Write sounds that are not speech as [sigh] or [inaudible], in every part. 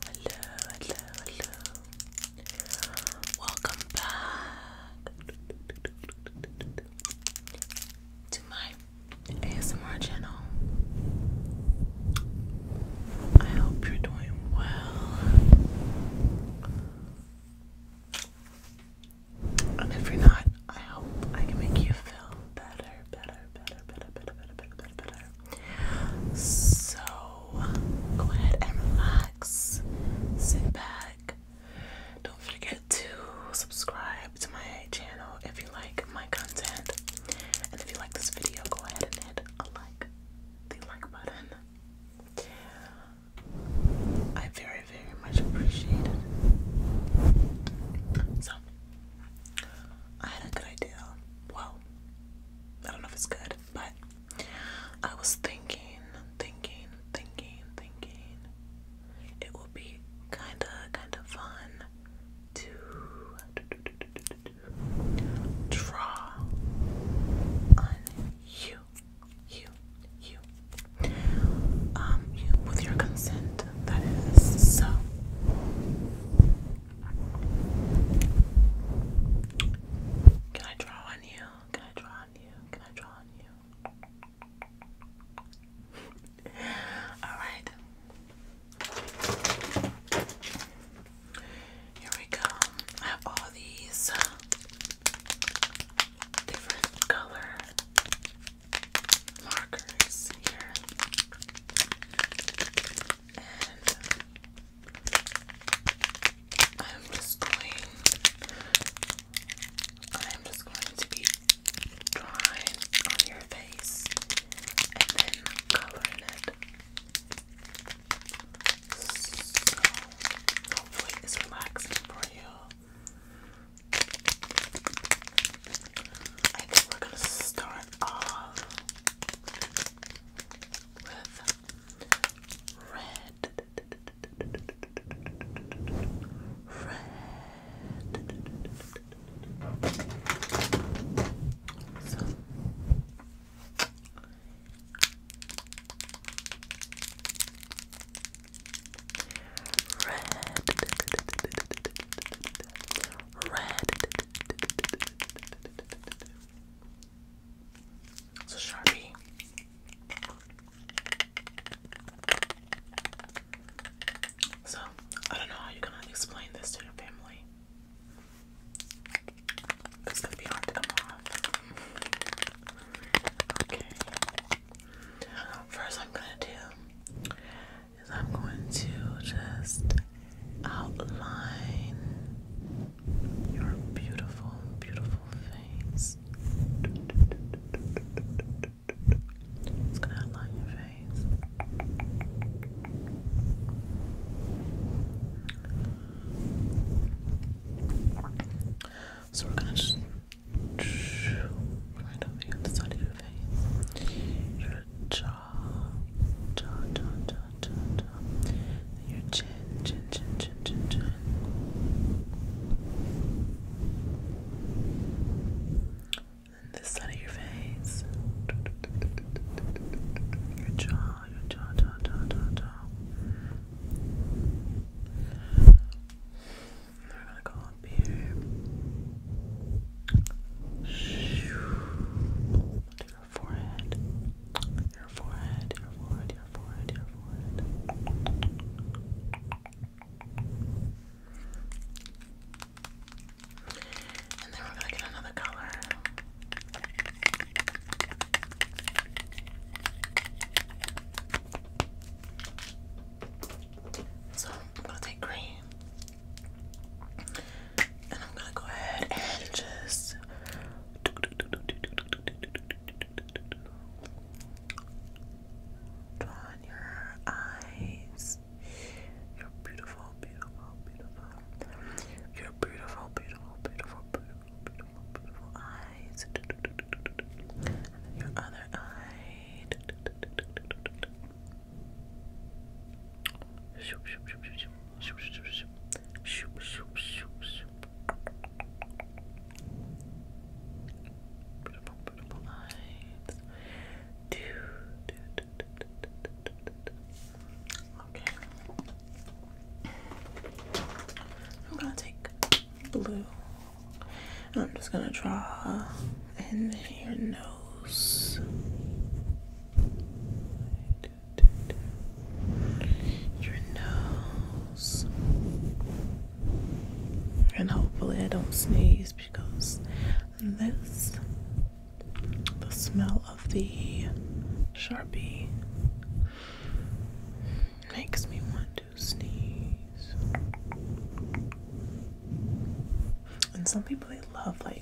Hello, hello, hello. Welcome back to my ASMR channel. I hope you're doing well. And if you're not, I hope I can make you feel better, better, better, better, better, better, better, better. So go ahead and relax, sit back. Don't forget to subscribe to my channel if you like my content. And if you like this video, go ahead and hit a like, the like button. I very, very much appreciate it. So, I had a good idea. Well, I don't know if it's good, but I was thinking, thinking, thinking, thinking it will be kinda, kinda fun to draw on you, you, you, um, you with your consent, that is. So, can I draw on you? Can I draw on you? Can I draw on you? [laughs] Alright. Here we go. I have all these uh, different color markers here. Um, I'm just going I'm just going to be drawing on your face and then coloring it. So hopefully it's relaxing for you. I think we're gonna start off with red, red. So. Red, red, it's a Sharpie. So, I don't know how you're gonna explain this to your family. It's gonna be hard to come off. Okay. First, I'm gonna do is I'm going to just outline your beautiful, beautiful face. It's gonna outline your face. So we're gonna just right over here the side of your face, your jaw, jaw, jaw, jaw, jaw, jaw, jaw. Your chin, chin, chin, chin, chin, chin. And this side of your face. Your jaw, your jaw, jaw, jaw, jaw, jaw. And we're gonna go up here. Your forehead. Your forehead, your forehead, your forehead, your forehead. And then we're gonna get another color. So I'm gonna take green and I'm gonna go ahead and just draw your eyes. you beautiful, beautiful, beautiful. Your beautiful, beautiful, beautiful, beautiful, beautiful, eyes. your other eye. Beautiful, beautiful lights. Do, do, do, do, do, do, do, do. Okay. I'm gonna take blue I'm just gonna draw and your nose. Your nose. And hopefully I don't sneeze because this the smell of the Sharpie makes me want to sneeze. And some people they love like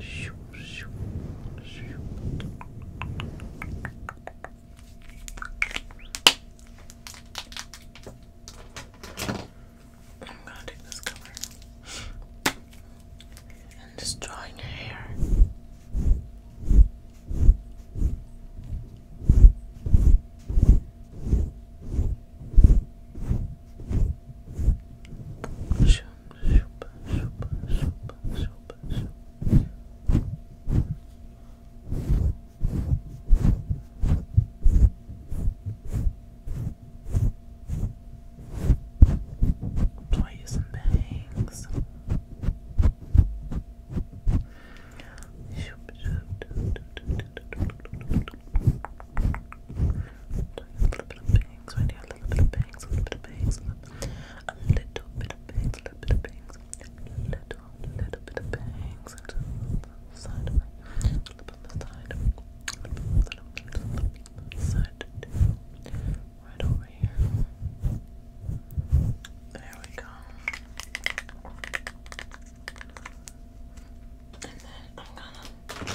Shoo, shoo, shoo. I'm gonna take this color and just draw in your hair. Try you some bangs. Shoop, shoop, do, do, do, do, little bit of bangs a little bit of bangs, a little bit of bangs, a little bit of bangs, a little bit of bangs, little, little bit of bangs, a little bit on the a little bit on the right over here. There we go. And then I'm gonna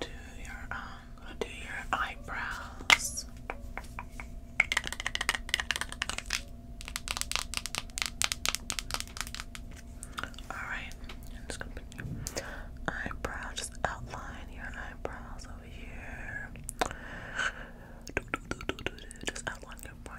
do your um, gonna do your eyebrows. Alright, I'm just gonna put your just outline your eyebrows over here. Just outline your brow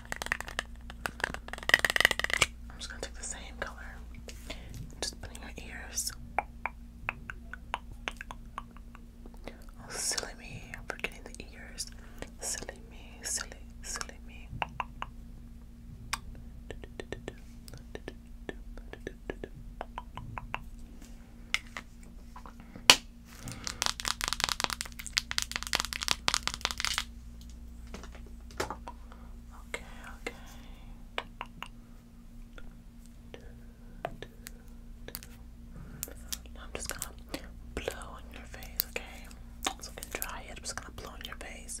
I'm just gonna take the same color. Just put in ears. Oh, silly me. I'm forgetting the ears. Silly me. Silly, silly me. Okay, okay. I'm just gonna blow on your face, okay? So I can dry it. I'm just gonna blow on your face.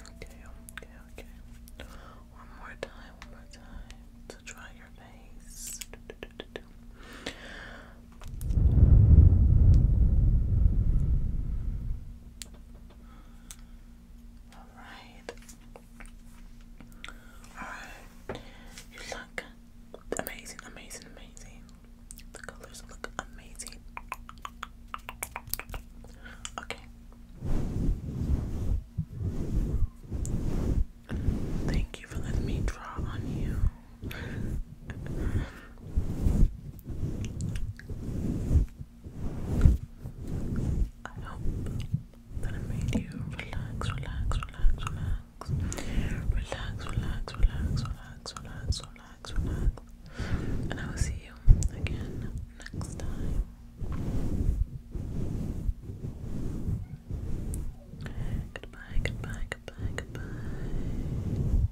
Okay, okay, okay. One more time, one more time to dry your face. All right. All right. You look amazing, amazing, amazing. The colors look amazing. Okay. Thank you for letting me draw on you. I hope that I made you relax, relax, relax, relax. Relax, relax, relax, relax, relax, relax relax, relax. And I will see you again next time. Goodbye, goodbye, goodbye, goodbye.